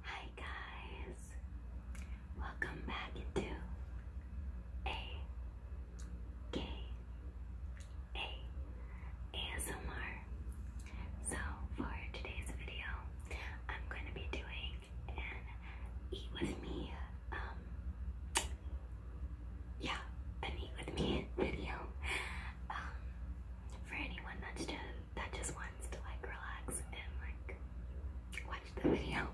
Hi guys, welcome back to a K A ASMR. So for today's video, I'm going to be doing an eat with me, um, yeah, an eat with me video. Um, for anyone that's just, that just wants to like relax and like watch the video,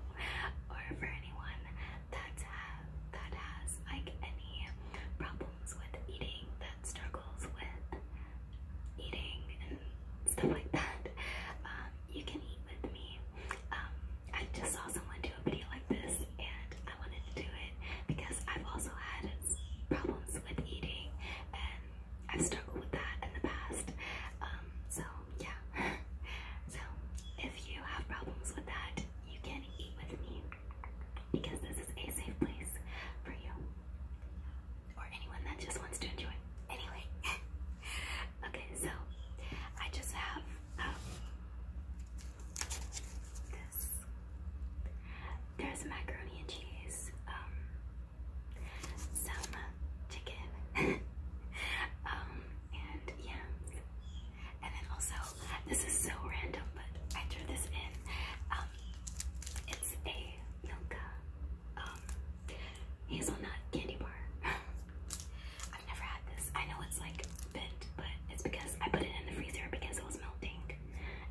or for anyone that uh, that has like any problems with eating, that struggles with eating and stuff like that, um, you can eat with me. Um, I just saw someone do a video like this, and I wanted to do it because I've also had problems with eating and I've struggled with that in the past. Um, so yeah. so if you have problems with that, you can eat with me because this is a safe place for you or anyone that just wants to enjoy. Anyway, okay, so I just have um, this. There's macaroni and cheese. Um, some chicken, um, and yeah. And then also, this is so random, but I threw this in. Um, it's a Milka um, hazelnut candy bar. I've never had this. I know it's like bent, but it's because I put it in the freezer because it was melting.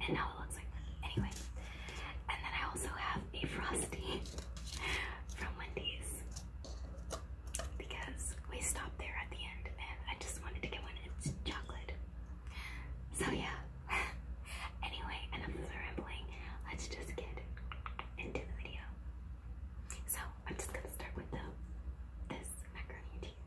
And now it looks like that. Anyway. And then I also have a Frosty from Wendy's. Because we stopped there at the end and I just wanted to get one. It's chocolate. So yeah. anyway, enough of the rambling. Let's just get into the video. So I'm just gonna start with the this macaroni cheese.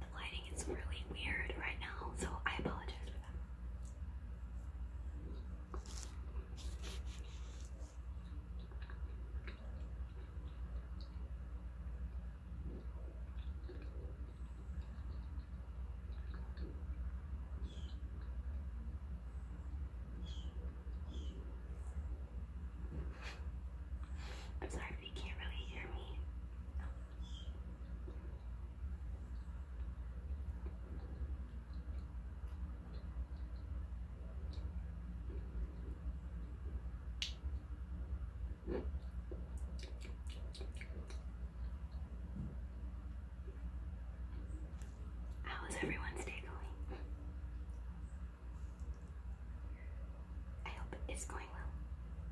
The lighting is really weird right now, so I apologize for that. I'm sorry if you can't really hear me. How is everyone's day going? I hope it's going well.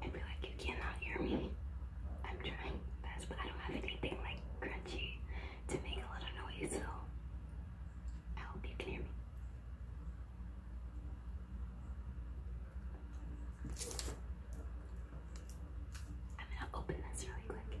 I feel like you cannot hear me. I'm trying best, but I don't have anything like crunchy to make a lot of noise, so I hope you can hear me. I'm gonna open this really quick.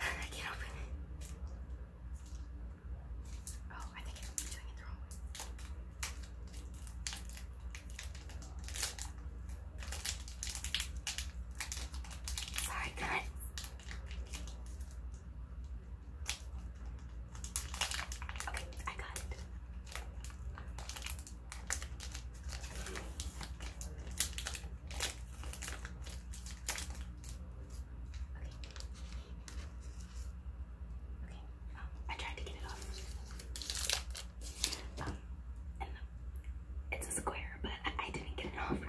I can't open it. Oh, I think i doing it the wrong way. Sorry, guys. Okay, I got it. Okay. Okay. Um, I tried to get it off. Um, and it's a square, but I didn't get it off right.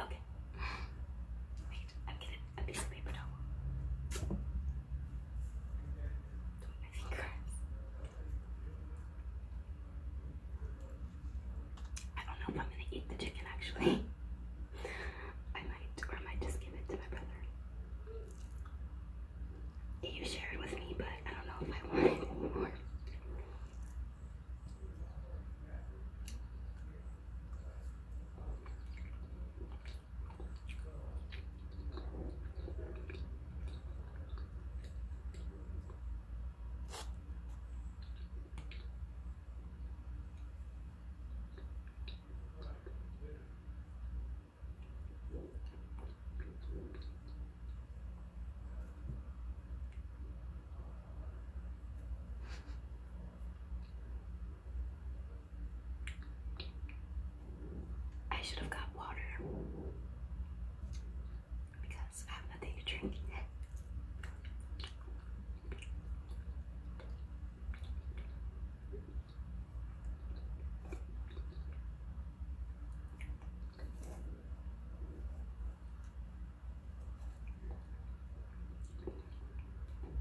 Okay. Wait, I'm getting a piece of paper towel. Between my fingers. I don't know if I'm gonna eat the chicken actually. I might, or I might just give it to my brother you shared with me, but I don't know if I want it anymore. I should have got water because I have nothing to drink.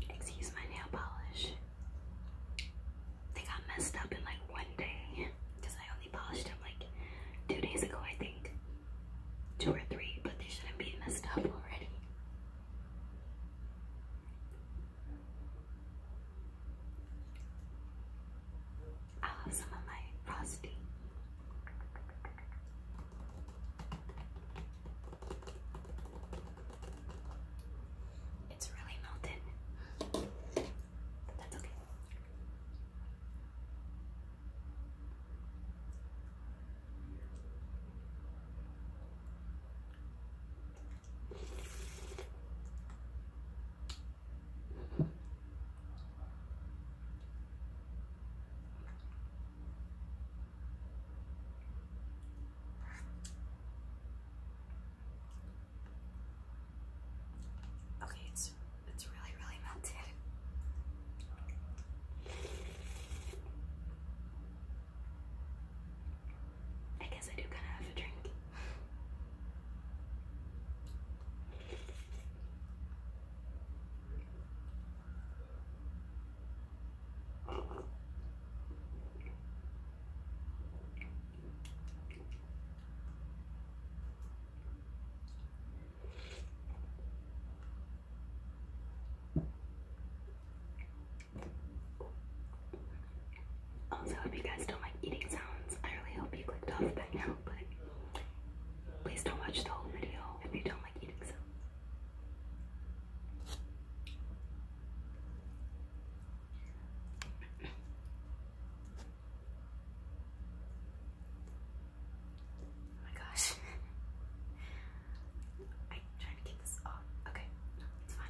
Excuse my nail polish. They got messed up in like one day because I only polished them like two days ago, I think. Two or three, but they shouldn't be messed up already. I'll have some of my frosty. It's really melted, but that's okay. Okay, it's it's really really melted. I guess I do kind of have a drink. Also, if you guys don't like eating sounds, I really hope you clicked off by now, but please don't watch the whole video if you don't like eating sounds. Oh my gosh. I'm trying to get this off. Okay, it's fine.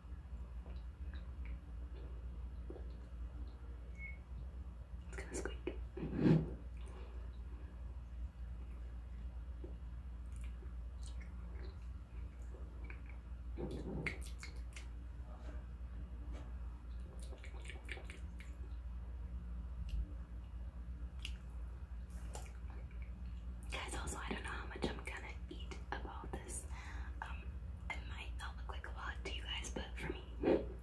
It's gonna squeak. Guys, also, I don't know how much I'm gonna eat about this. Um, it might not look like a lot to you guys, but for me,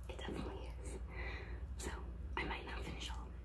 it definitely is. So, I might not finish all of it.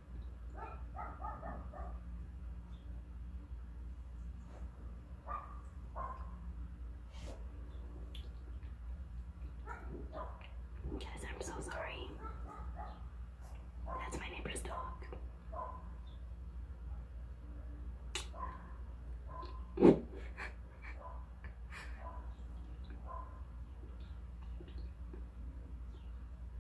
Guys, I'm so sorry. That's my neighbor's dog.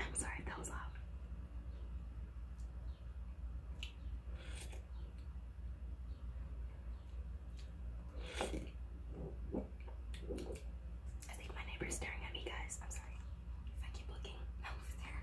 I'm sorry if that was loud. I think my neighbor's staring at me, guys. I'm sorry if I keep looking over there.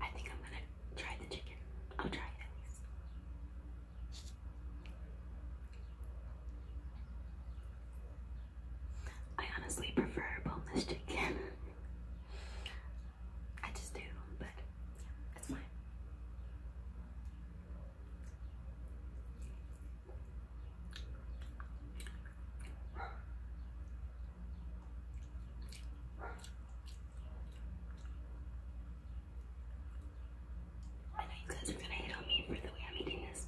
I think I'm gonna try the chicken. I'll try it at least. I honestly prefer boneless chicken. I just do, but yeah, it's I know you guys are gonna hit on me for the way I'm eating this,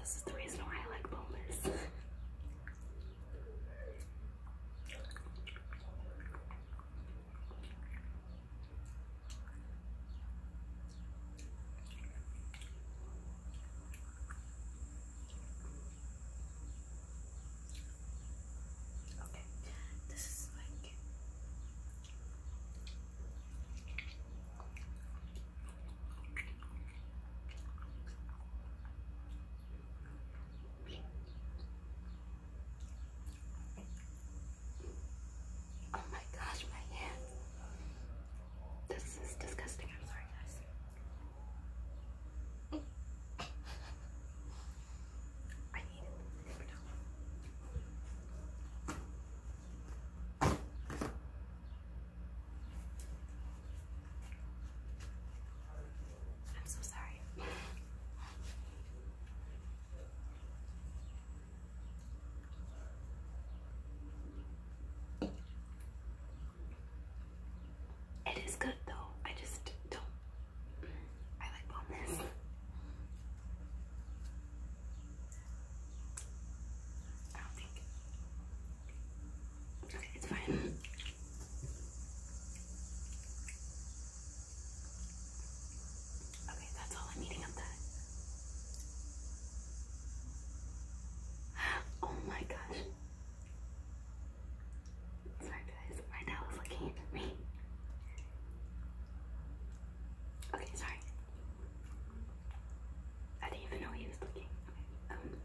this is the reason why I like bombers. Okay, this is like Oh my gosh, my hand. This is disgusting. I'm sorry, guys. I need it. I'm so sorry. It is good though. I just don't I like bombers. I don't think. Okay, it's fine. Okay, that's all I'm eating of that. Oh my gosh. Sorry guys, my dad was looking at me. Okay, sorry. I didn't even know he was looking. Okay. Um,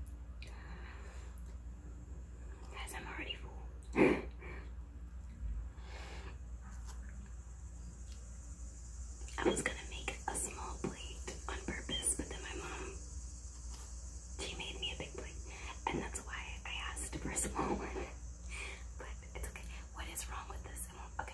guys, I'm already full. I was gonna make a small plate on purpose, but then my mom she made me a big plate, and that's why I asked for a small one. But it's okay. What is wrong with this? Okay.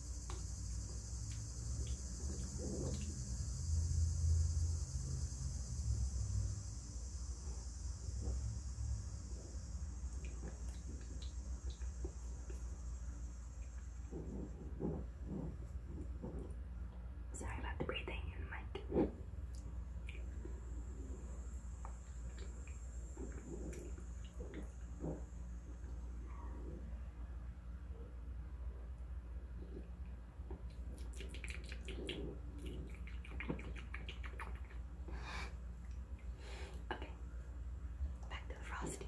Sorry about the breathing in the Okay, back to the frosting.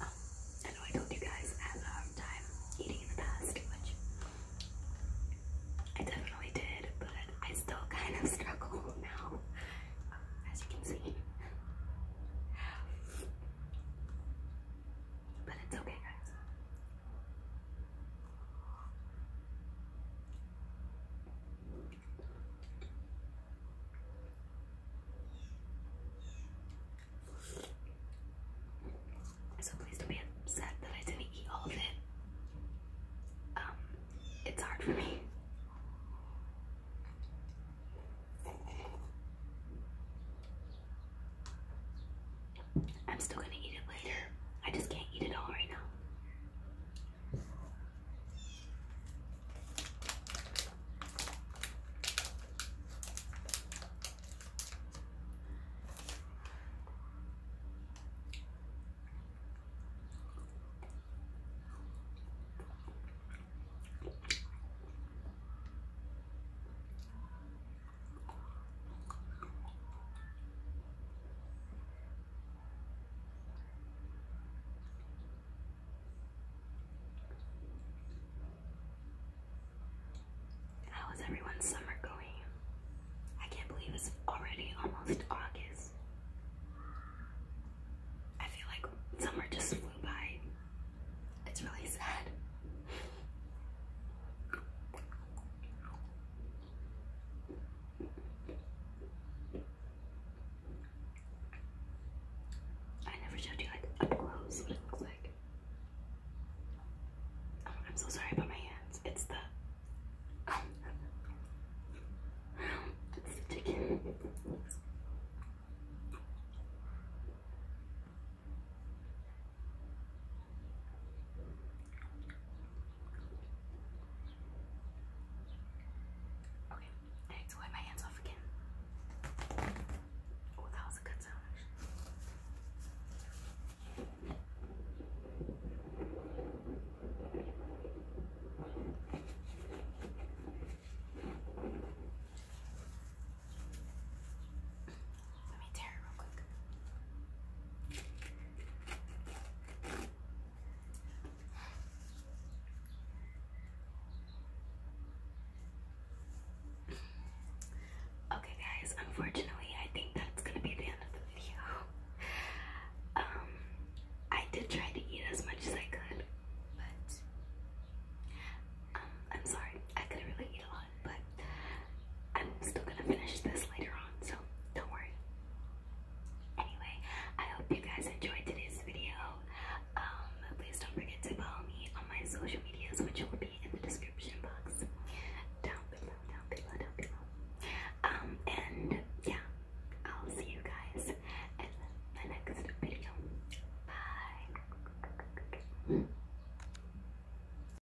Oh, I know I told you guys I have a hard time eating in the past, too much. I definitely did, but I still kind of struggle now, as you can see. But it's okay, so please don't be upset that I didn't eat all of it. Um, it's hard for me. I'm still gonna eat it later. I just can't eat it all right now. How is everyone's summer going? I can't believe it's already almost August. I feel like summer just flew by. It's really sad. I never showed you like up close what it looks like. Oh, I'm so sorry about my hands. It's the it's the chicken. Okay, need to wipe my hands off again. Oh, that was a good sound. Okay guys, unfortunately I think that's gonna be the end of the video. Um I did try to eat as much as I could, but um I'm sorry, I could not really eat but I'm still gonna finish this later on, so don't worry. Anyway, I hope you guys enjoyed today's video. Um, please don't forget to follow me on my social medias, which will be in the description box down below, down below, down below. Um, and yeah, I'll see you guys in my next video. Bye.